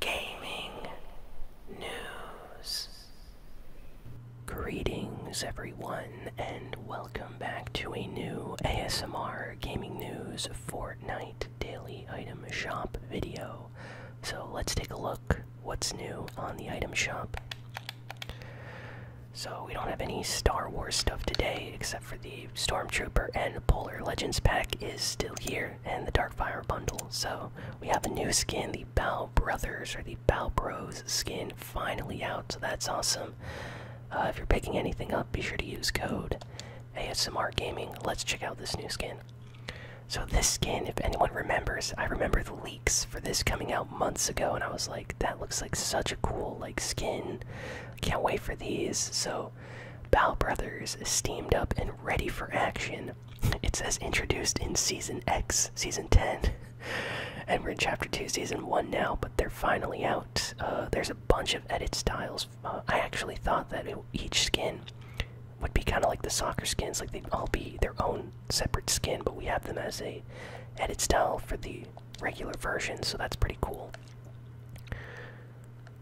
gaming news. Greetings, everyone, and welcome back to a new ASMR Gaming News Fortnite Daily Item Shop video. So, let's take a look what's new on the item shop. So, we don't have any Star Wars stuff today except for the Stormtrooper and Polar Legends pack is still here, and the Dark Fire bundle. So we have a new skin, the Bow Brothers or the Bow Bros skin, finally out. So that's awesome. Uh, if you're picking anything up, be sure to use code ASMR Gaming. Let's check out this new skin. So this skin, if anyone remembers, I remember the leaks for this coming out months ago, and I was like, that looks like such a cool like skin. Can't wait for these. So Bow Brothers is steamed up and ready for action. It says introduced in Season X, Season 10. and we're in Chapter 2, Season 1 now, but they're finally out. Uh, there's a bunch of edit styles. Uh, I actually thought that each skin would be kind of like the soccer skins, like they'd all be their own separate skin, but we have them as a edit style for the regular version, so that's pretty cool.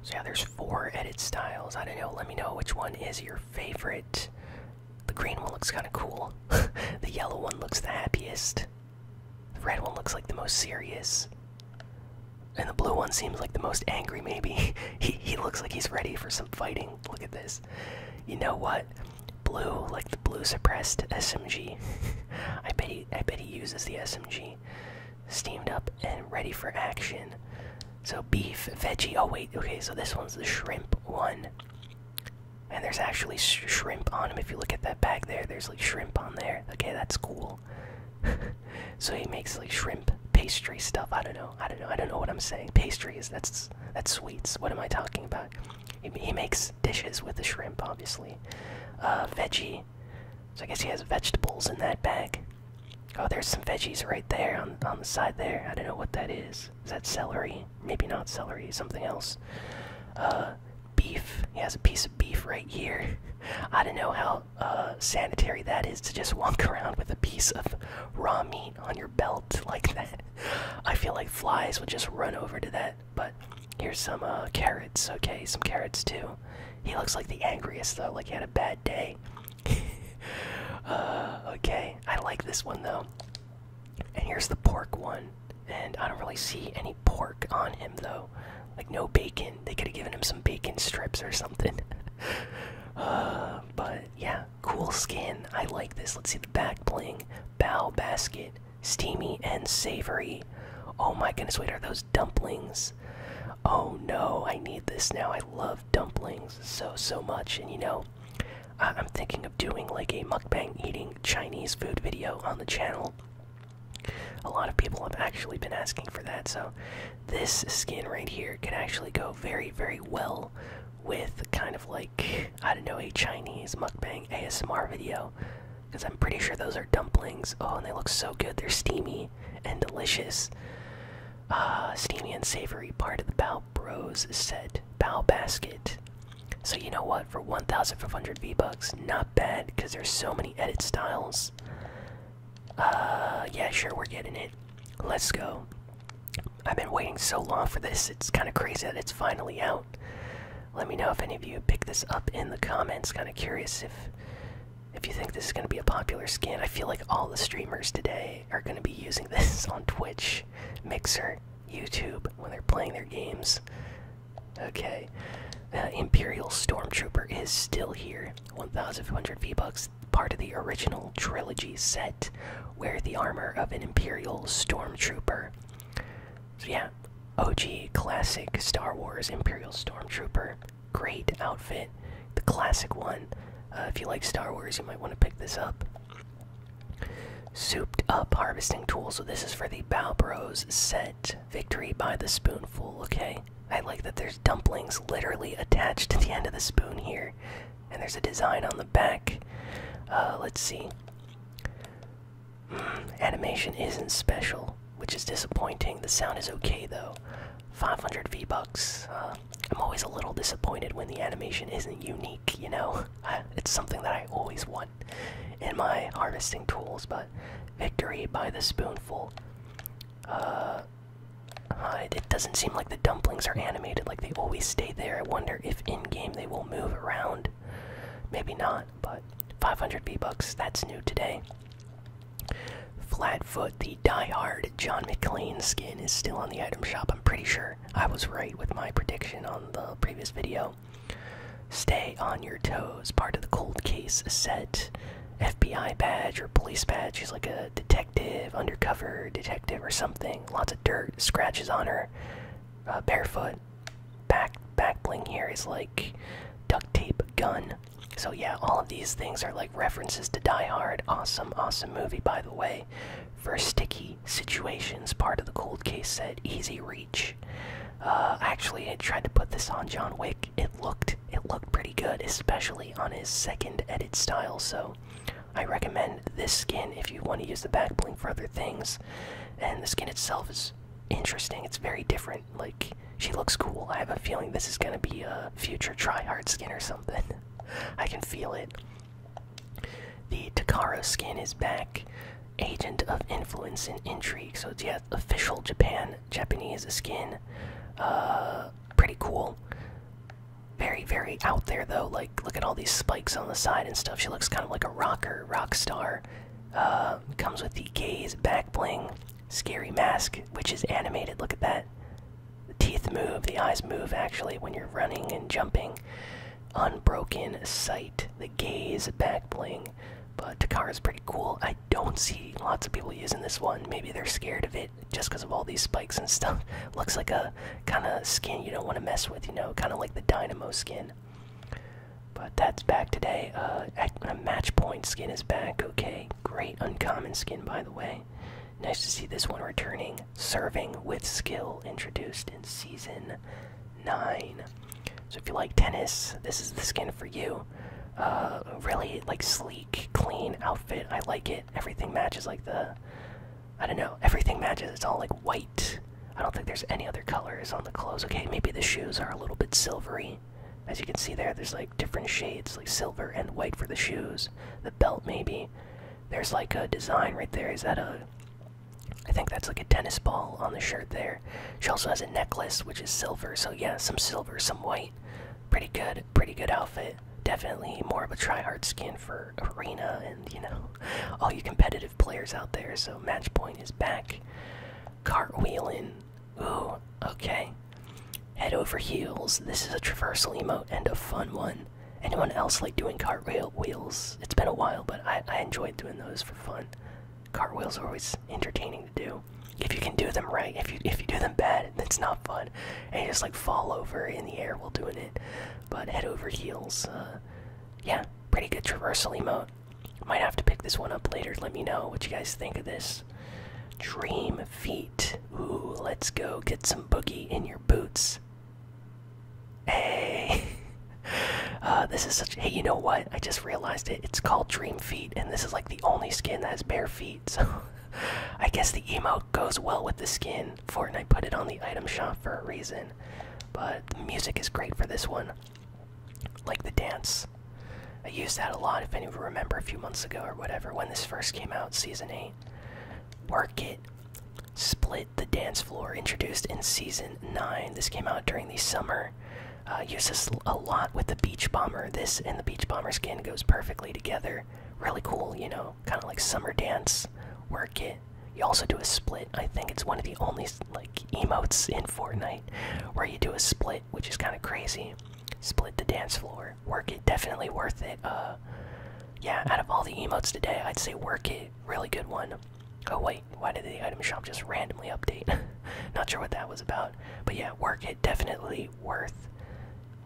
So yeah, there's four edit styles. I don't know. Let me know which one is your favorite. The green one looks kind of cool. the yellow one looks the happiest. The red one looks like the most serious. And the blue one seems like the most angry, maybe. he, he looks like he's ready for some fighting. Look at this. You know what? Blue, like the blue suppressed SMG. I bet he I bet he uses the SMG steamed up and ready for action. So beef, veggie. Oh wait, okay. So this one's the shrimp one, and there's actually shrimp on him. If you look at that bag there, there's like shrimp on there. Okay, that's cool. so he makes like shrimp pastry stuff. I don't know. I don't know. I don't know what I'm saying. Pastries. That's that's sweets. What am I talking about? He, makes dishes with the shrimp, obviously. Uh, veggie. So I guess he has vegetables in that bag. Oh, there's some veggies right there on, on the side there. I don't know what that is. Is that celery? Maybe not celery, something else. Uh, beef. He has a piece of beef right here. I don't know how uh, sanitary that is to just walk around with a piece of raw meat on your belt like that. I feel like flies would just run over to that but here's some uh, carrots. Okay, some carrots too. He looks like the angriest though. Like he had a bad day. Uh, okay, I like this one though. And here's the pork one. And I don't really see any pork on him though. Like no bacon. They could have given him some bacon strips or something. Uh, but yeah, cool skin. I like this. Let's see the back bling. Bow basket steamy and savory. Oh my goodness, wait, are those dumplings? Oh no, I need this now. I love dumplings so, so much. And you know, I am thinking of doing like a mukbang eating Chinese food video on the channel. A lot of people have actually been asking for that, so this skin right here can actually go very, very well with kind of like, I don't know, a Chinese mukbang ASMR video because I'm pretty sure those are dumplings. Oh, and they look so good. They're steamy and delicious. Uh, steamy and savory part of the Bao Bros set. Bao Basket. So you know what? For 1,500 V-Bucks, not bad, because there's so many edit styles. Uh, yeah, sure, we're getting it. Let's go. I've been waiting so long for this, it's kind of crazy that it's finally out. Let me know if any of you pick this up in the comments. Kind of curious if if you think this is going to be a popular skin. I feel like all the streamers today are going to be using this on Twitch, Mixer, YouTube when they're playing their games. Okay, uh, Imperial Stormtrooper is still here. One thousand two hundred V-Bucks, part of the original trilogy set. Wear the armor of an Imperial Stormtrooper. So yeah, OG classic Star Wars Imperial Stormtrooper. Great outfit, the classic one. Uh, if you like Star Wars, you might want to pick this up. Souped up harvesting tool. So this is for the Balbros set. Victory by the spoonful. Okay, I like that. There's dumplings literally attached to the end of the spoon here and there's a design on the back. Uh, let's see. Hmm, animation isn't special, which is disappointing. The sound is okay though. 500 V bucks. Uh, I'm always a little disappointed when the animation isn't unique. You know, it's something that I always want in my harvesting tools. But victory by the spoonful. Uh, it doesn't seem like the dumplings are animated like they always stay there. I wonder if in game they will move around. Maybe not, but 500 B-Bucks, that's new today. Flatfoot, the die-hard John McClane skin is still on the item shop. I'm pretty sure I was right with my prediction on the previous video. Stay on your toes, part of the cold case set. FBI badge or police badge. He's like a detective, undercover detective or something. Lots of dirt, scratches on her, uh, barefoot. Back back bling here is like duct tape gun. So yeah, all of these things are like references to Die Hard. Awesome, awesome movie by the way. For sticky situations, part of the cold case said easy reach. Uh, actually, I tried to put this on John Wick. It looked it looked pretty good, especially on his second edit style. So I recommend this skin if you want to use the back bling for other things. And the skin itself is interesting. It's very different. Like she looks cool. I have a feeling this is gonna be a future tryhard skin or something. I can feel it. The Takara skin is back. Agent of influence and intrigue. So it's yeah, official Japan Japanese skin. Uh, pretty cool very, very out there though. Like, look at all these spikes on the side and stuff. She looks kind of like a rocker, rock star. Uh, comes with the gaze, back bling, scary mask, which is animated. Look at that. The teeth move, the eyes move actually when you're running and jumping. Unbroken sight, the gaze, back bling. But Takara's pretty cool. I don't see lots of people using this one. Maybe they're scared of it just because of all these spikes and stuff. Looks like a kind of skin you don't want to mess with, you know, kind of like the Dynamo skin. But that's back today. Uh, a uh, match point skin is back. Okay, great uncommon skin, by the way. Nice to see this one returning. Serving with skill introduced in season nine. So if you like tennis, this is the skin for you uh, really like sleek, clean outfit. I like it. Everything matches like the I don't know. Everything matches. It's all like white. I don't think there's any other colors on the clothes. Okay, maybe the shoes are a little bit silvery. As you can see there, there's like different shades, like silver and white for the shoes. The belt maybe. There's like a design right there. Is that a I think that's like a tennis ball on the shirt there. She also has a necklace which is silver, so yeah, some silver, some white. Pretty good, pretty good outfit. Definitely more of a tryhard skin for arena and you know all you competitive players out there. So match point is back. Cartwheeling. Ooh, okay. Head over heels. This is a traversal emote and a fun one. Anyone else like doing cartwheel wheels? It's been a while, but I, I enjoyed doing those for fun. Cartwheels are always entertaining to do. If you can do them right, if you if you do them bad, it's not fun, and you just like fall over in the air while doing it. But head over heels, uh, yeah, pretty good traversal emote. Might have to pick this one up later. Let me know what you guys think of this. Dream feet. Ooh, let's go get some boogie in your boots. Hey, uh, this is such. Hey, you know what? I just realized it. It's called Dream Feet and this is like the only skin that has bare feet. So I guess the emo goes well with the skin. Fortnite put it on the item shop for a reason. But the music is great for this one. Like the dance. I used that a lot, if anyone remember, a few months ago or whatever, when this first came out, Season 8. Work It. Split the Dance Floor, introduced in Season 9. This came out during the summer uh, uses a lot with the beach bomber. This and the beach bomber skin goes perfectly together. Really cool, you know, kind of like summer dance work it. You also do a split. I think it's one of the only like emotes in Fortnite where you do a split, which is kind of crazy. Split the dance floor. Work it, definitely worth it. Uh, yeah, out of all the emotes today, I'd say work it, really good one. Oh wait why did the item shop just randomly update? Not sure what that was about. But yeah, work it definitely worth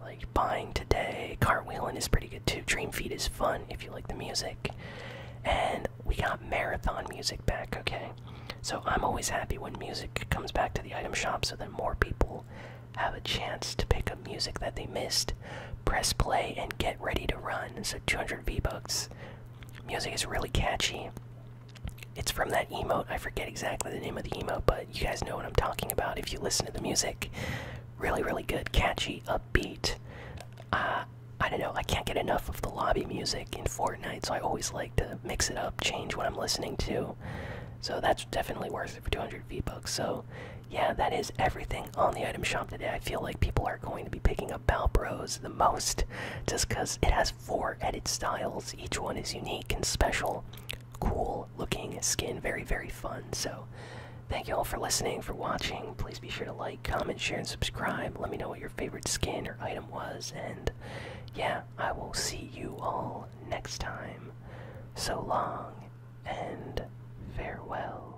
like buying today. Cartwheeling is pretty good too. Dream Feed is fun if you like the music. And we got marathon music back, okay? So I'm always happy when music comes back to the item shop so that more people have a chance to pick up music that they missed. Press play and get ready to run. So 200 V-Bucks Music is really catchy. It's from that emote. I forget exactly the name of the emote, but you guys know what I'm talking about if you listen to the music. Really, really good, catchy, upbeat. Uh, I don't know, I can't get enough of the lobby music in Fortnite, so I always like to mix it up, change what I'm listening to. So that's definitely worth it for 200 V-Bucks. So, yeah, that is everything on the item shop today. I feel like people are going to be picking up Balbros, most just because it has four edit styles. Each one is unique and special. Cool looking skin. Very, very fun. So, thank you all for listening, for watching. Please be sure to like, comment, share, and subscribe. Let me know what your favorite skin or item was. And yeah, I will see you all next time. So long and farewell.